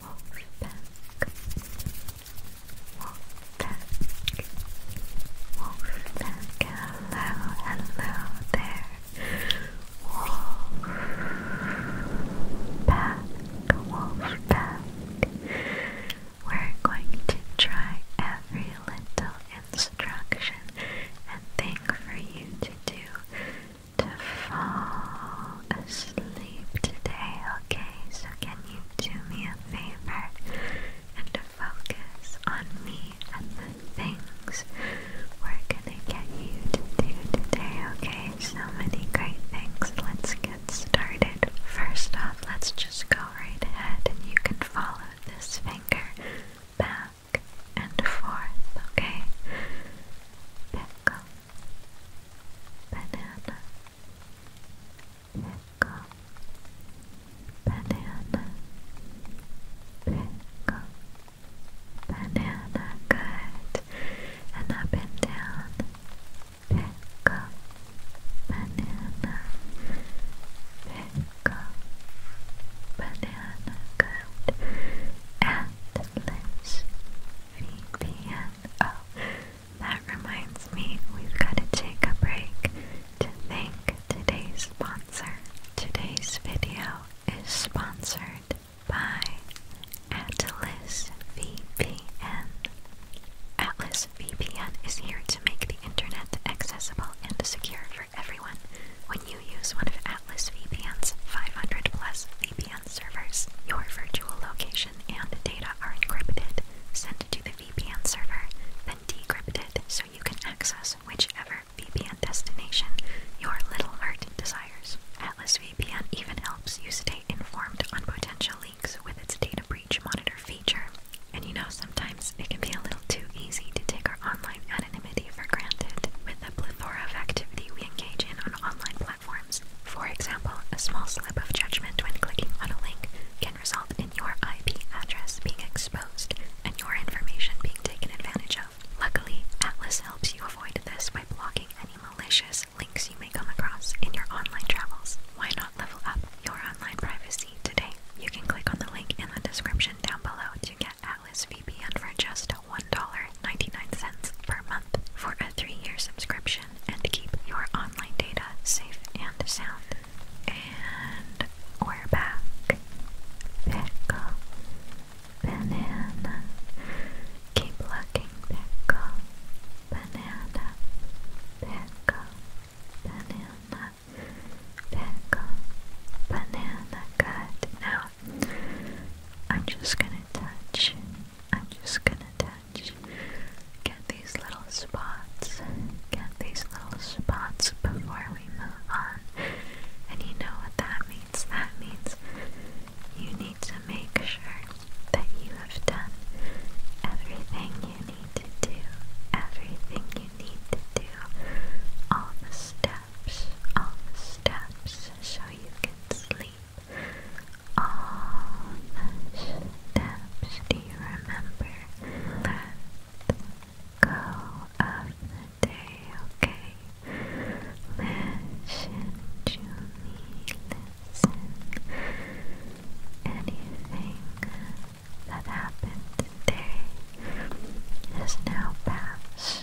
Walk back, walk back, walk back. Hello, hello there. Walk back, walk back. We're going to try every little instruction and thing for you to do to fall asleep today, okay? So, can you do me a favor and focus on me and the things we're gonna get you to do today, okay? So many great things. Let's get started. First off, let's just go right ahead and you can follow this finger back and forth, okay? Pick a banana pickle banana pickle banana good and up and down pickle banana pickle banana good Let's VPN. Oh, that reminds me, we've got to take a break to thank today's sponsor. Today's video is sponsored by Atlas VPN. Atlas VPN is here to make the internet accessible and secure for everyone. When you use one of Atlas VPN's 500 plus VPN servers, your virtual location and data are encrypted, sent to the VPN server, then decrypted so you can access whichever VPN destination your little heart desires. Atlas VPN even helps you stay informed on potential leaks with its data breach monitor feature. And you know, sometimes it can be a little too easy to take our online for granted with the plethora of activity we engage in on online platforms. For example, a small slip of judgment when clicking on a link can result in your IP address being exposed and your information being taken advantage of. Luckily, Atlas helps you avoid this by blocking any malicious links you may come across in your online travels. Why not level up your online privacy today? You can click on the link in the description down below to get Atlas VPN for just $1.99 per month for a three year subscription and keep your online data safe and sound. And we're back. Pickle. Banana. Keep looking, pickle. Banana. Pickle. Banana. Good. Now I'm just gonna touch. I'm just gonna touch. Get these little spots. Get these little spots before we move on. And you know what that means? That means you need to make sure that you have done everything you need to do. Everything you need to do. All the steps. On the steps, so you can sleep. On the steps. Do you remember? Let go of the day, okay? Listen to me, listen. Anything that happened today has now passed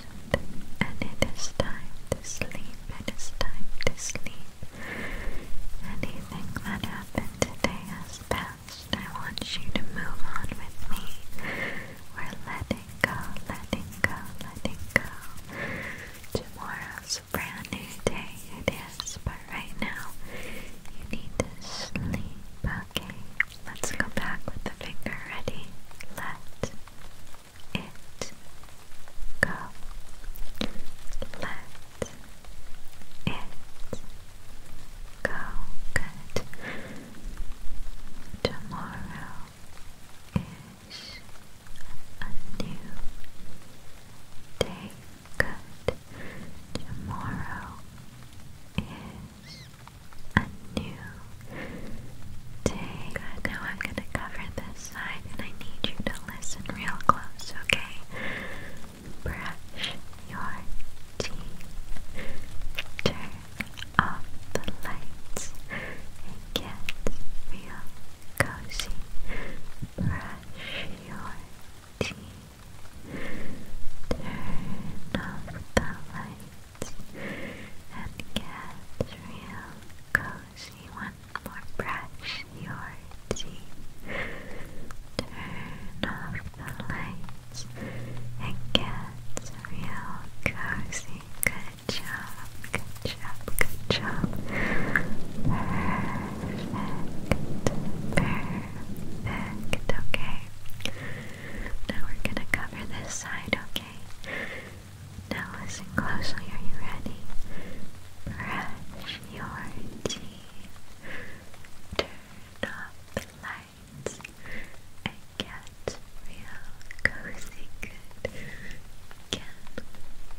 and it is time to sleep, it is time to sleep. Anything that happened today has passed. I want you to move on with me. We're letting go, letting go, letting go. Tomorrow's a brand new day, it is, but right now you need to sleep, okay? Let's go back with the finger. Ready? Let it go. Let it go. Good. Tomorrow is a new day. Good. Tomorrow is a new day. now I'm gonna cover this side and I need you to listen real close, okay? Brush your teeth, turn off the lights, and get real cozy. Brush your teeth, turn off the lights and get real cozy. One more brush your teeth. Turn off the lights and get real cozy. Good job, good job, good job. Perfect, perfect. Okay. Now we're gonna cover this side, okay? Okay. Now listen closely. Are you ready? Brush your teeth. Turn off the lights and get real cozy. Good. Again,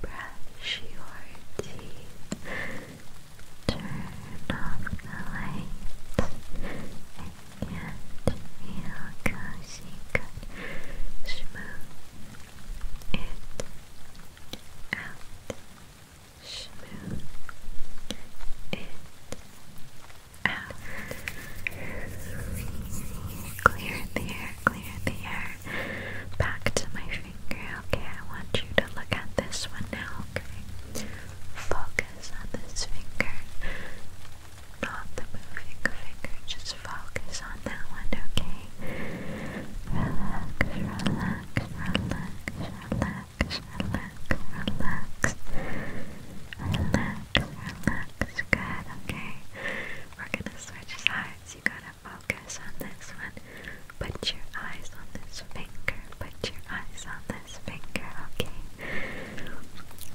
brush your teeth. Turn off the lights and feel cozy, good. Smooth it out. Smooth it out. Clear the air, clear the air. Back to my finger, okay? I want you to look at this one now, okay? Focus on this finger not the moving finger, just focus on that one, okay? Relax, relax, relax, relax, relax, relax, relax, relax, good, okay? We're gonna switch sides, you gotta focus on this one, put your eyes on this finger, put your eyes on this finger, okay?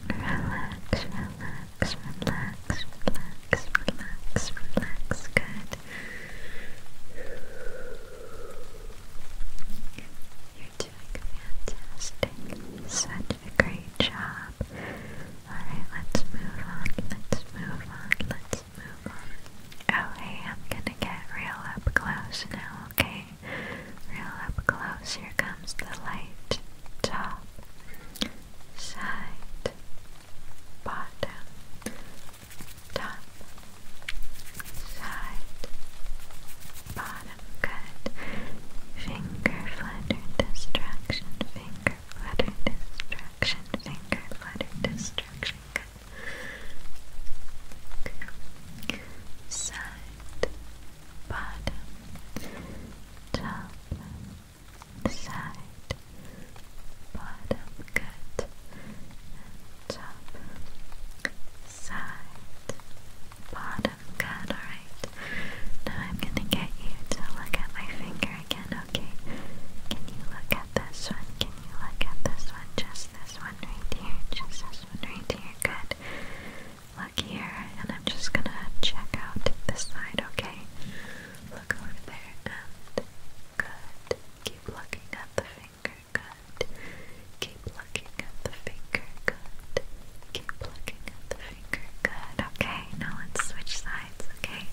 Relax, relax, relax, relax, relax, relax, good. You're doing fantastic. Such a great job. Alright, let's move on, let's move on, let's move on. Oh hey, I'm gonna get real up close now, okay? Real up close, here comes the light. Top, side, bottom, top, side, bottom. Good. Finger flutter distraction, finger flutter distraction, finger flutter distraction. Good. Side, bottom, side, bottom, good, and top, side, bottom, good, alright. Now I'm gonna get you to look at my finger again, okay? Can you look at this one? Can you look at this one? Just this one right here, just this one right here, good. Look here, and I'm just gonna check out this side, okay? Look over there and good. Keep looking at the finger, good. Keep looking at the finger, good. Keep looking at the finger, good. Okay, now let's switch sides, okay?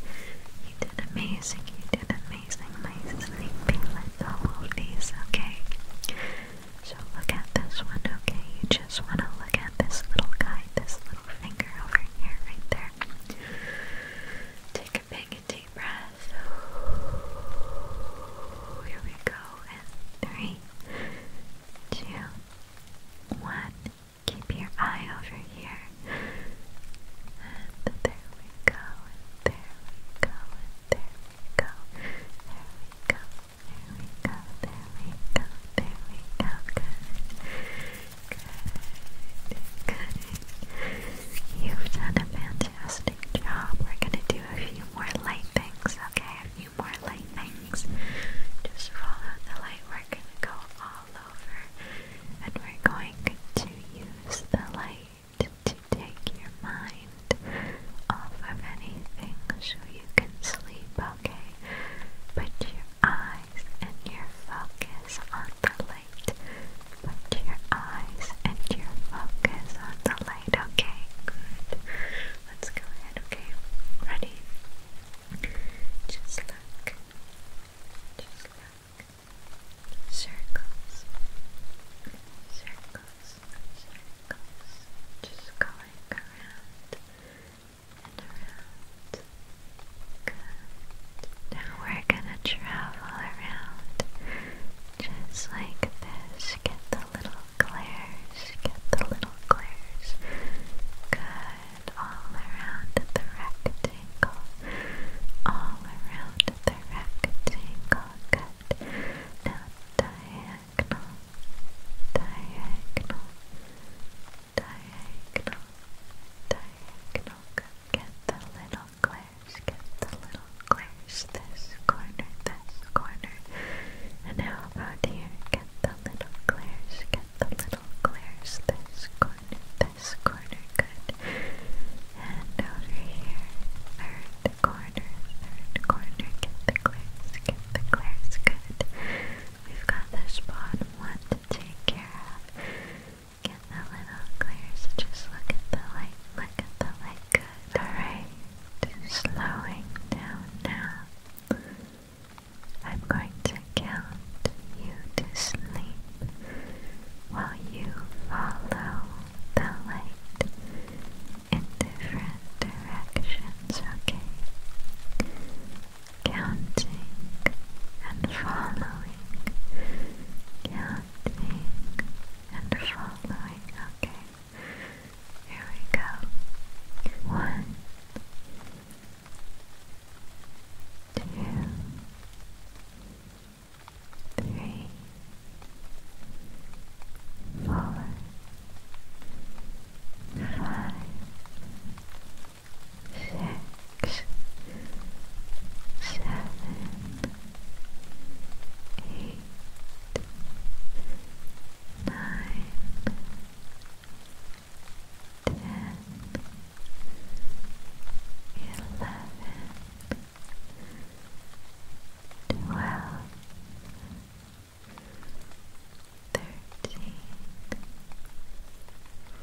You did amazing, you did amazing, my sleeping little oldies, okay? So look at this one, okay? You just want to look at this little guy, this little finger over here, right there. Take a big deep breath. Here we go. And three, two, one. Keep your eye over here. And there we go. And there we go. And there we go. There we go. There we go, there we go, there we go. Good. Good. Good. You've done a fantastic job. We're gonna do a few more light things, okay? A few more light things. Just follow the light. We're gonna go all over and we're going to use the light to take your mind off of anything so you can sleep, okay? Put your eyes and your focus on the light. Put your eyes and your focus on the light, okay? Good. Let's go ahead, okay? Ready? Just look. Just look. Circles. Circles circles, just going around and around. Good. Now we're gonna travel around just like this. Get the little glares, get the little glares. Good. All around the rectangle. All around the rectangle. Good. Now diagonally diagonal, diagonal, diagonal, diagonal. Get the little glares, get the little glares. This corner, this corner. And how about here? Get the little glares, get the little glares. This corner, this corner. Good. And over here, third, corner, third corner, get the clears, get the clears, good. We've got this bottom one to take care of. Get the little clears, just look at the light, look at the light, good. Alright, slowing down now. I'm going to count you to sleep while you follow the light in different directions, okay? Counting and following. Counting and following, okay? Here we go. One, two, three fallen, five, six, seven, eight, nine, ten, eleven, twelve thirteen,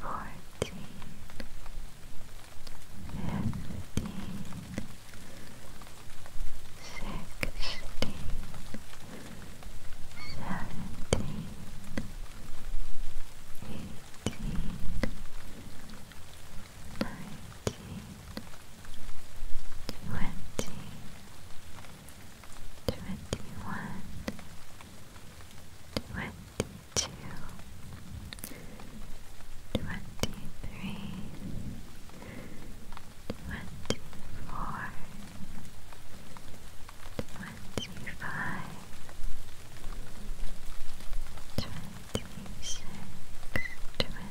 fourteen, fifteen, sixteen, seventeen, eighteen, nineteen twenty, twenty-one, twenty-two, twenty-three, twenty-four, twenty-five, twenty-six, twenty-seven.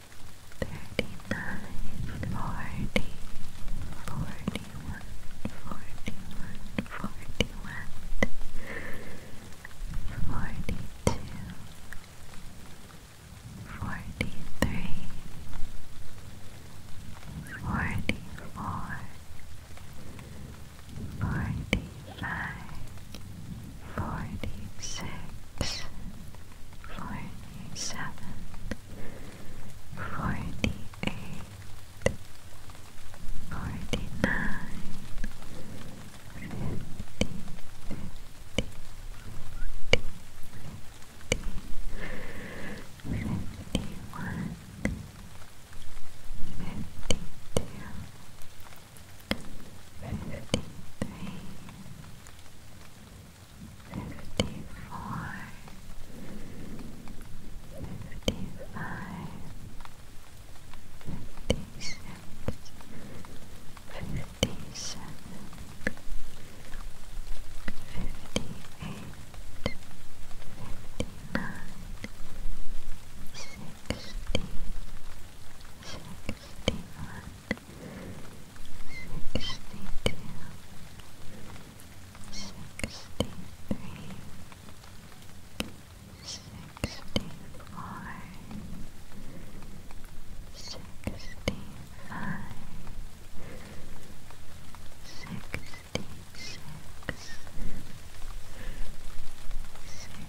thirty-nine, forty, forty-one, forty-one, forty-one, forty-two, forty-three, forty-four, forty-five, forty-six, forty-seven, forty-eight, forty-nine, fifty, fifty, fifty, fifty, fifty-one, fifty-two, fifty-three, fifty-four, fifty-five, fifty-six, fifty-seven, fifty-eight, fifty-nine, sixty, sixty-one sixty-two, sixty-three, sixty-four, sixty-five, sixty-six, sixty-seven.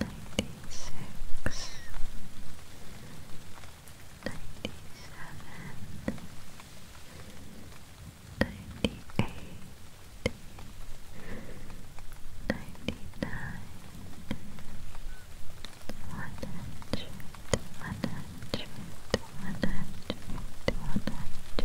ninety-six, ninety-seven, ninety-eight, ninety-nine, one hundred, one hundred, one hundred, one hundred, one hundred,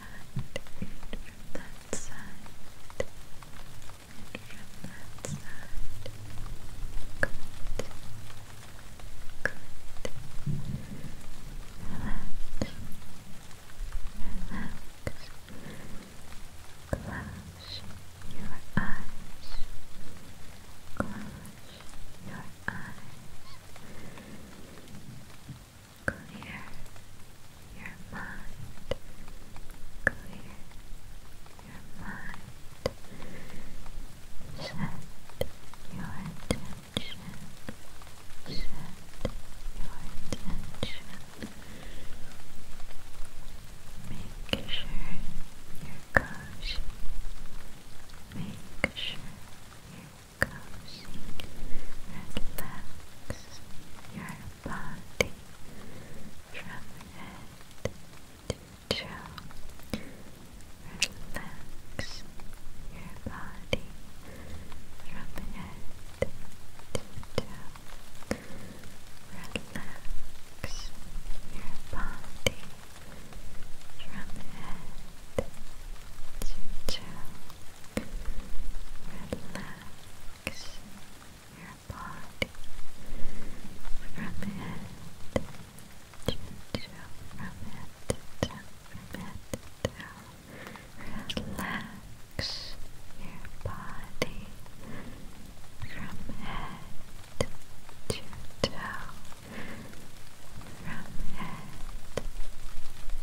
side, and from that side, and from that side. Good. Good. Relax. Relax. Close your eyes. Close your eyes. Clear your mind. Clear your mind. Set your intention. Set your intention. Make sure you conscious. Make sure cozy, relax Relax your body from head to toe. Relax your body from head to toe. Relax your body from head to toe. Relax your body from head to toe, from head to toe, from head to toe. Relax your body from head to toe from head there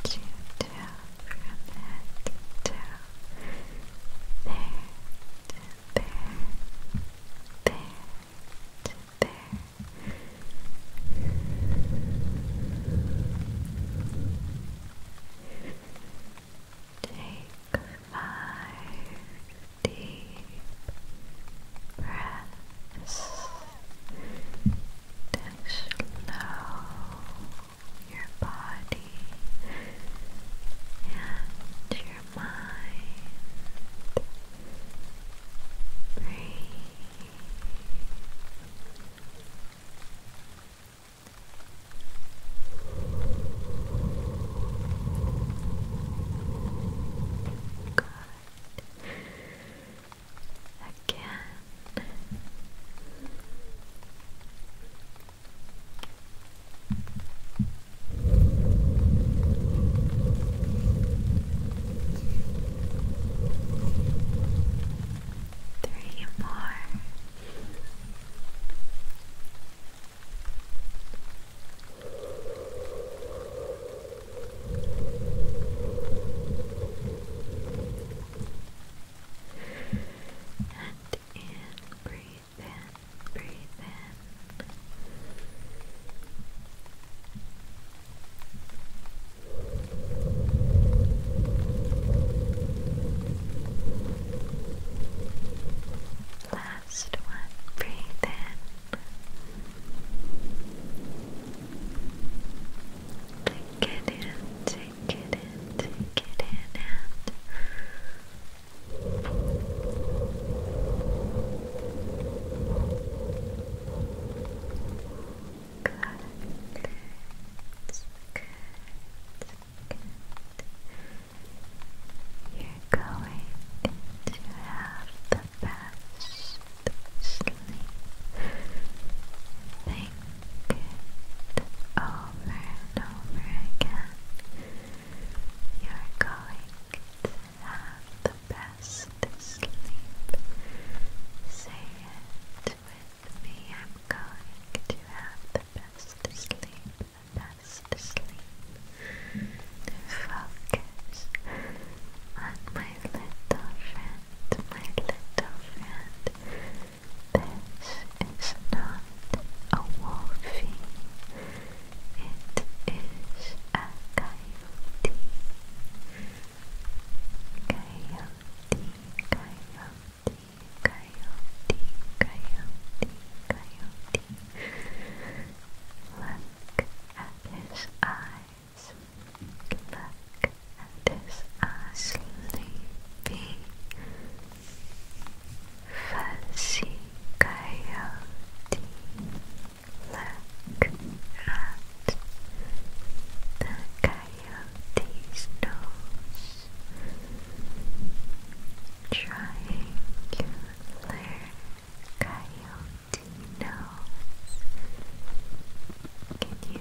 there, there there. Take five deep breaths to slow your body and your mind. Breathe. Good again. Three more. And in, breathe in, breathe in. Last one, breathe in. Take it in, take it in, take it in, and good, good, good, good. You're going to have fast sleep. Think it over and over again. You're going to have the best sleep. Say it with me. I'm going to have the best sleep. The best sleep. Focus ears on my little friend, my little friend. This not a wolfie, it is a coyote. Coyote, coyote, coyote, coyote, coyote. Look at his eyes look back and his eyes sleepy. Fuzzy coyote, look at the coyote's nose, pointy nose. Can you hear it? Can you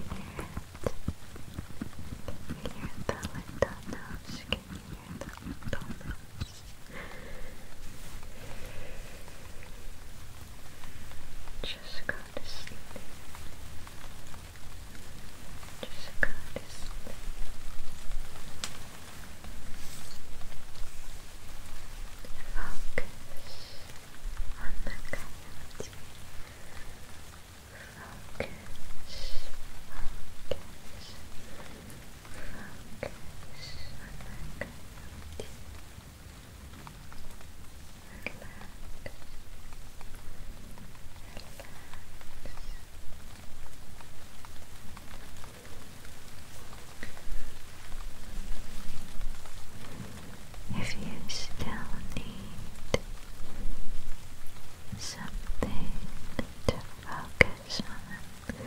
hear the little nose? Can you hear the Just go to sleep. Just go to sleep. Focus on the Focus, focus, focus if you still need something to focus on,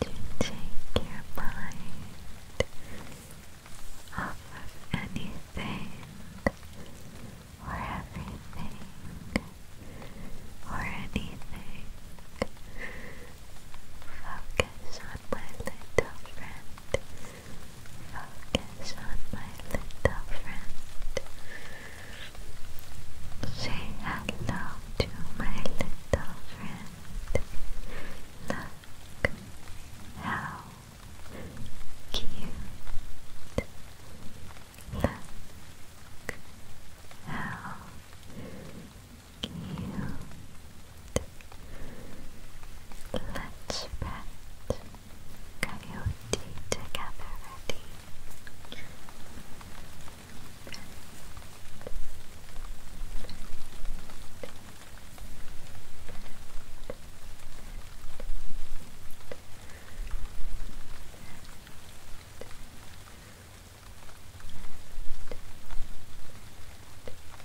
to take your mind off anything or everything or anything Focus on my little friend. Focus on my little friend. Say hello to my little friend. Look how cute. Look how Cute. let Coyote together,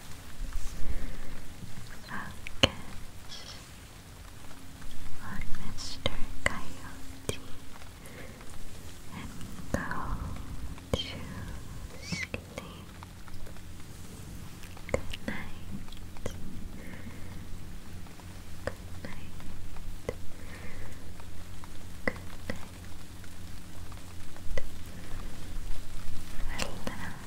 Focus on Mr. Coyote and go to sleep. Good night. Good night. Good night. Relax.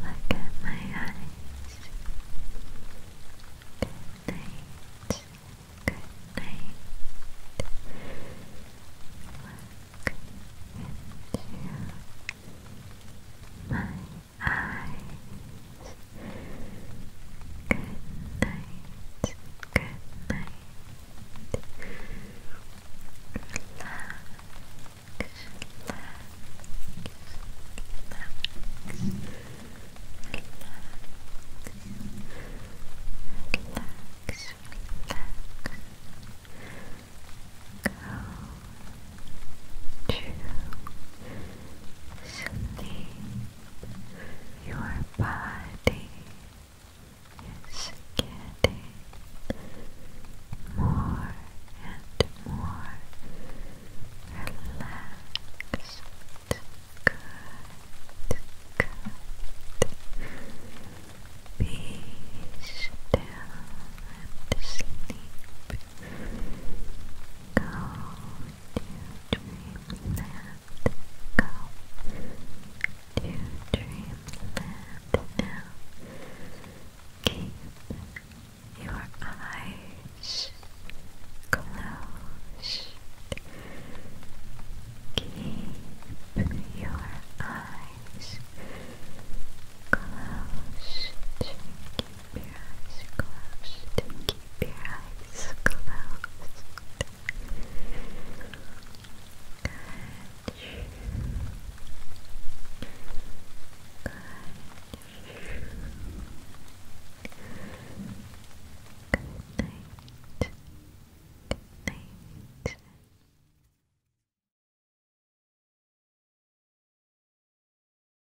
Look at my eyes. Good night. Good night. Look into my eyes eyes. Good night. Good night. Relax. Relax. Relax. Relax. Relax. Go to sleep. Your body is getting more and more relaxed. Good, good. Be still and sleep. Go dreamland go to dreamland now keep your eyes closed keep your eyes closed your eyes closed. Keep your eyes closed. Good. Good. Good night. Good night.